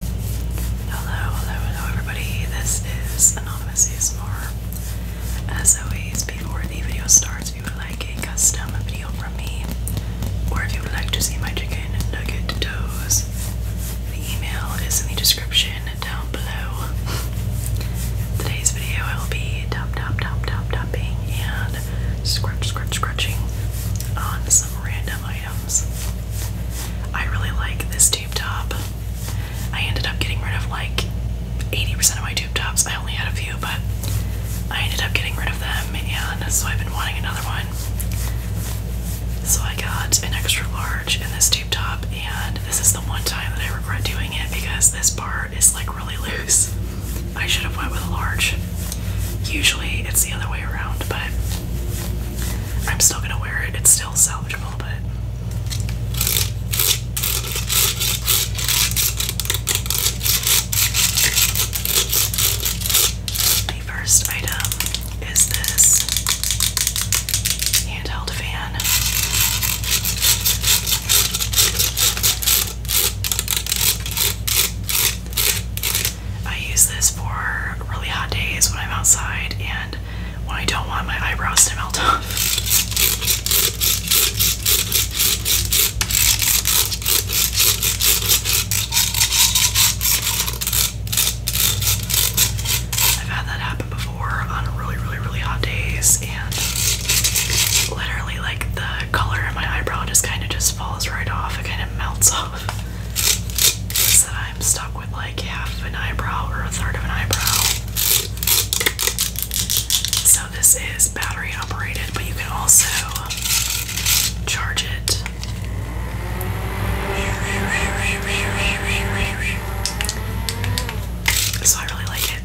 Hello, hello, hello everybody. This is Anonymous ASMR. As always, before the video starts, if you would like a custom video from me, or if you would like to see my chicken nugget toes, the email is in the description down below. Today's video will be tap tap tap tap tapping and scratch scratch scratching on some random item I really like this tube top. I ended up getting rid of like 80% of my tube tops. I only had a few, but I ended up getting rid of them, and so I've been wanting another one. So I got an extra large in this tube top, and this is the one time that I regret doing it because this part is like really loose. I should have went with a large. Usually it's the other way around, but I'm still gonna wear it. It's still salvageable, but the first item is this handheld fan. I use this for really hot days when I'm outside and when I don't want my eyebrows to melt off. I've had that happen before on really, really, really hot days, and literally, like, the color in my eyebrow just kind of just falls right off. It kind of melts off that I'm stuck with like half an eyebrow or a third of an eyebrow. So this is battery operated, but you can also charge it. So I really like it.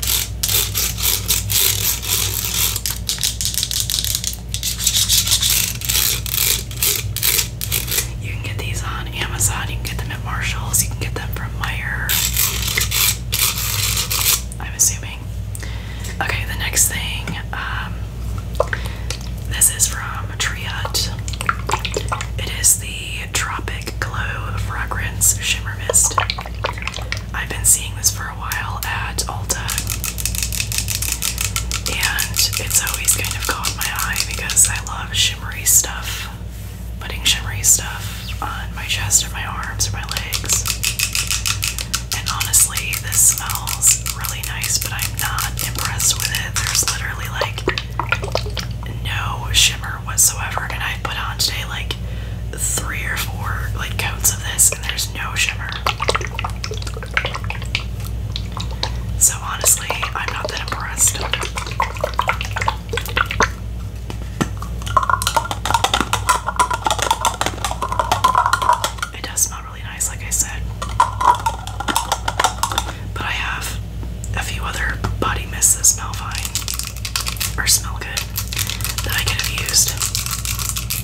You can get these on Amazon, you can get them at Marshall's, you can get them from Meyer. I'm assuming. Okay, the next thing, um, this is from Triot. It is the Tropic Glow Fragrance Shimmer Mist. I've been seeing this for a while at Ulta. And it's always kind of caught my eye because I love shimmery stuff. Putting shimmery stuff on my chest or my arms or my legs. And honestly, this smells really nice, but I'm not impressed with it. There's literally like no shimmer whatsoever. And I put on today like three or four like coats of this and there's no shimmer. So honestly, I'm not that impressed. It does smell really nice, like I said. But I have a few other body mists that smell fine or smell good that I could have used.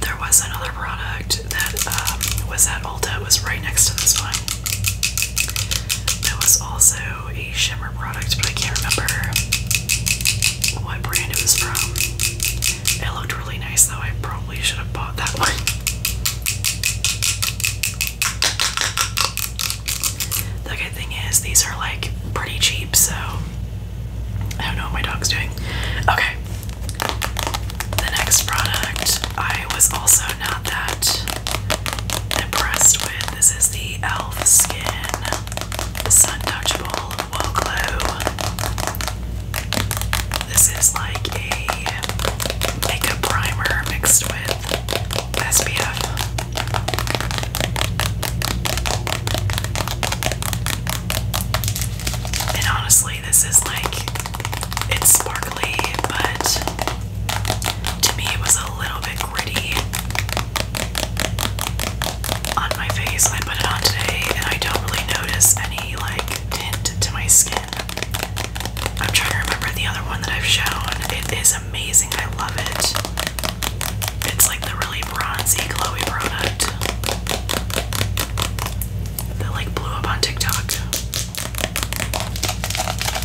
There was another product that um, was at Ulta. was right next to this one. That was also a shimmer product, but I can't remember what brand it was from. It looked really nice, though. I probably should have bought that one. The good thing is, these are like pretty cheap, so I don't know what my dog's doing. Okay. The next product I was also not that impressed with. This is the e.l.f. Skin Sun Touchable Wool This is like a makeup primer mixed with SPF. And honestly, this is like it's sparkly, but to me, it was a little bit gritty on my face. I put it on today, and I don't really notice any like tint to my skin. I'm trying to remember the other one that I've shown. It is amazing. I love it. It's like the really bronzy glowy product that like blew up on TikTok.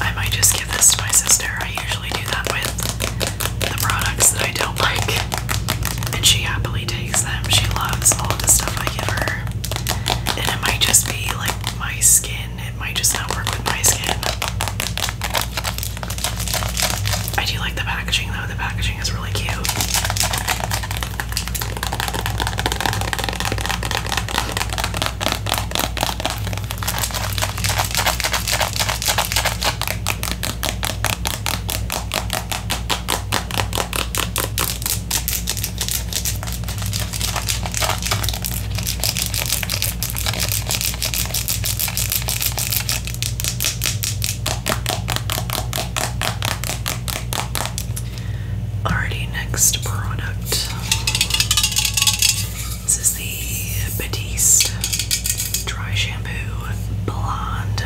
I might just give this to my sister. I usually do that with the products that I don't like. And she happily takes them. She loves all the stuff I give her. And it might just be like my skin. It might just not work with my skin. I do like the packaging though, the packaging is really cute. Alrighty, next product. This is the Batiste Dry Shampoo Blonde.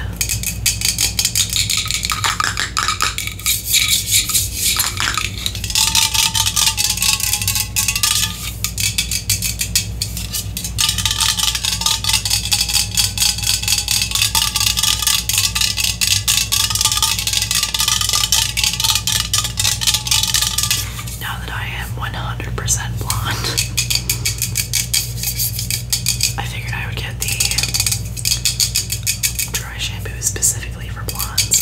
Now that I am 100% blonde, I figured I would get the dry shampoo specifically for blondes.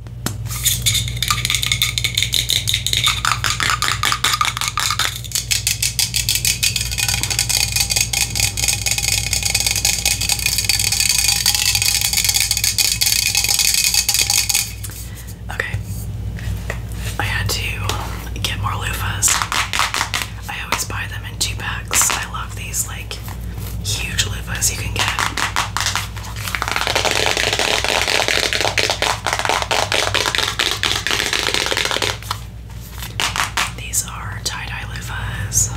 Okay, I had to get more loofahs. I always buy them in two packs. I love these like huge loofahs you can get. These are tie-dye loofahs.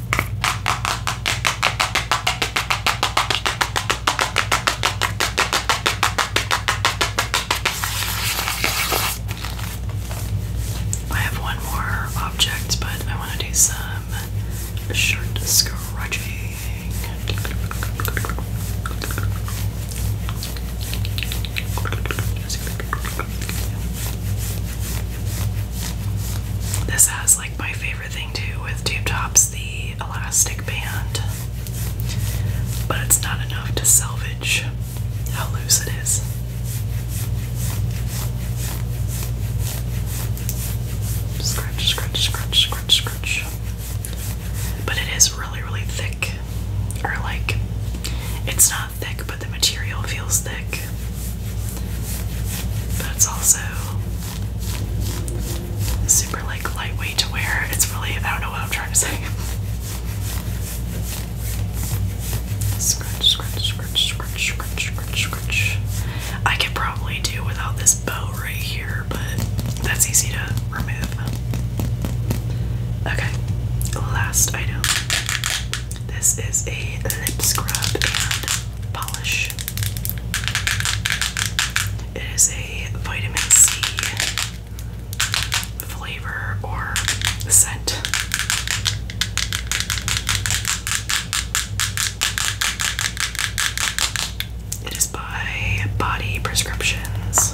I have one more object, but I want to do some shirt scratching. This has like my favorite thing too with tube tops, the elastic band. But it's not enough to salvage how loose it is. Scratch, scratch, scratch, scratch, scratch. But it is really, really thick. Or like, it's not thick, but the material feels thick. But it's also super like lightweight to wear. It's really I don't know what I'm trying to say. Scratch, scratch, scratch, scratch, scratch, scratch, scratch. I could probably do without this bow right here, but that's easy to remove. Okay, last item. This is a lip scrub and polish. It is a vitamin C flavor or scent. It is by Body Prescriptions.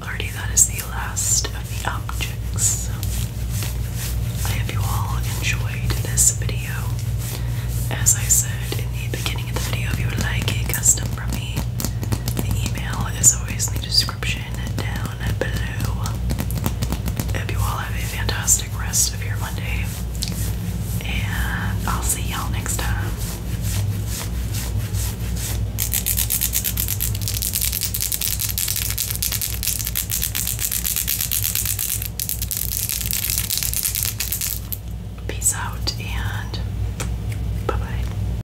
Alrighty, that is the last of the objects. I hope you all enjoyed this video. As I said in the beginning of the video, if you would like a custom from me, the email is always in the description description down below. Hope you all have a fantastic rest of your Monday, and I'll see y'all next time. Peace out, and bye bye.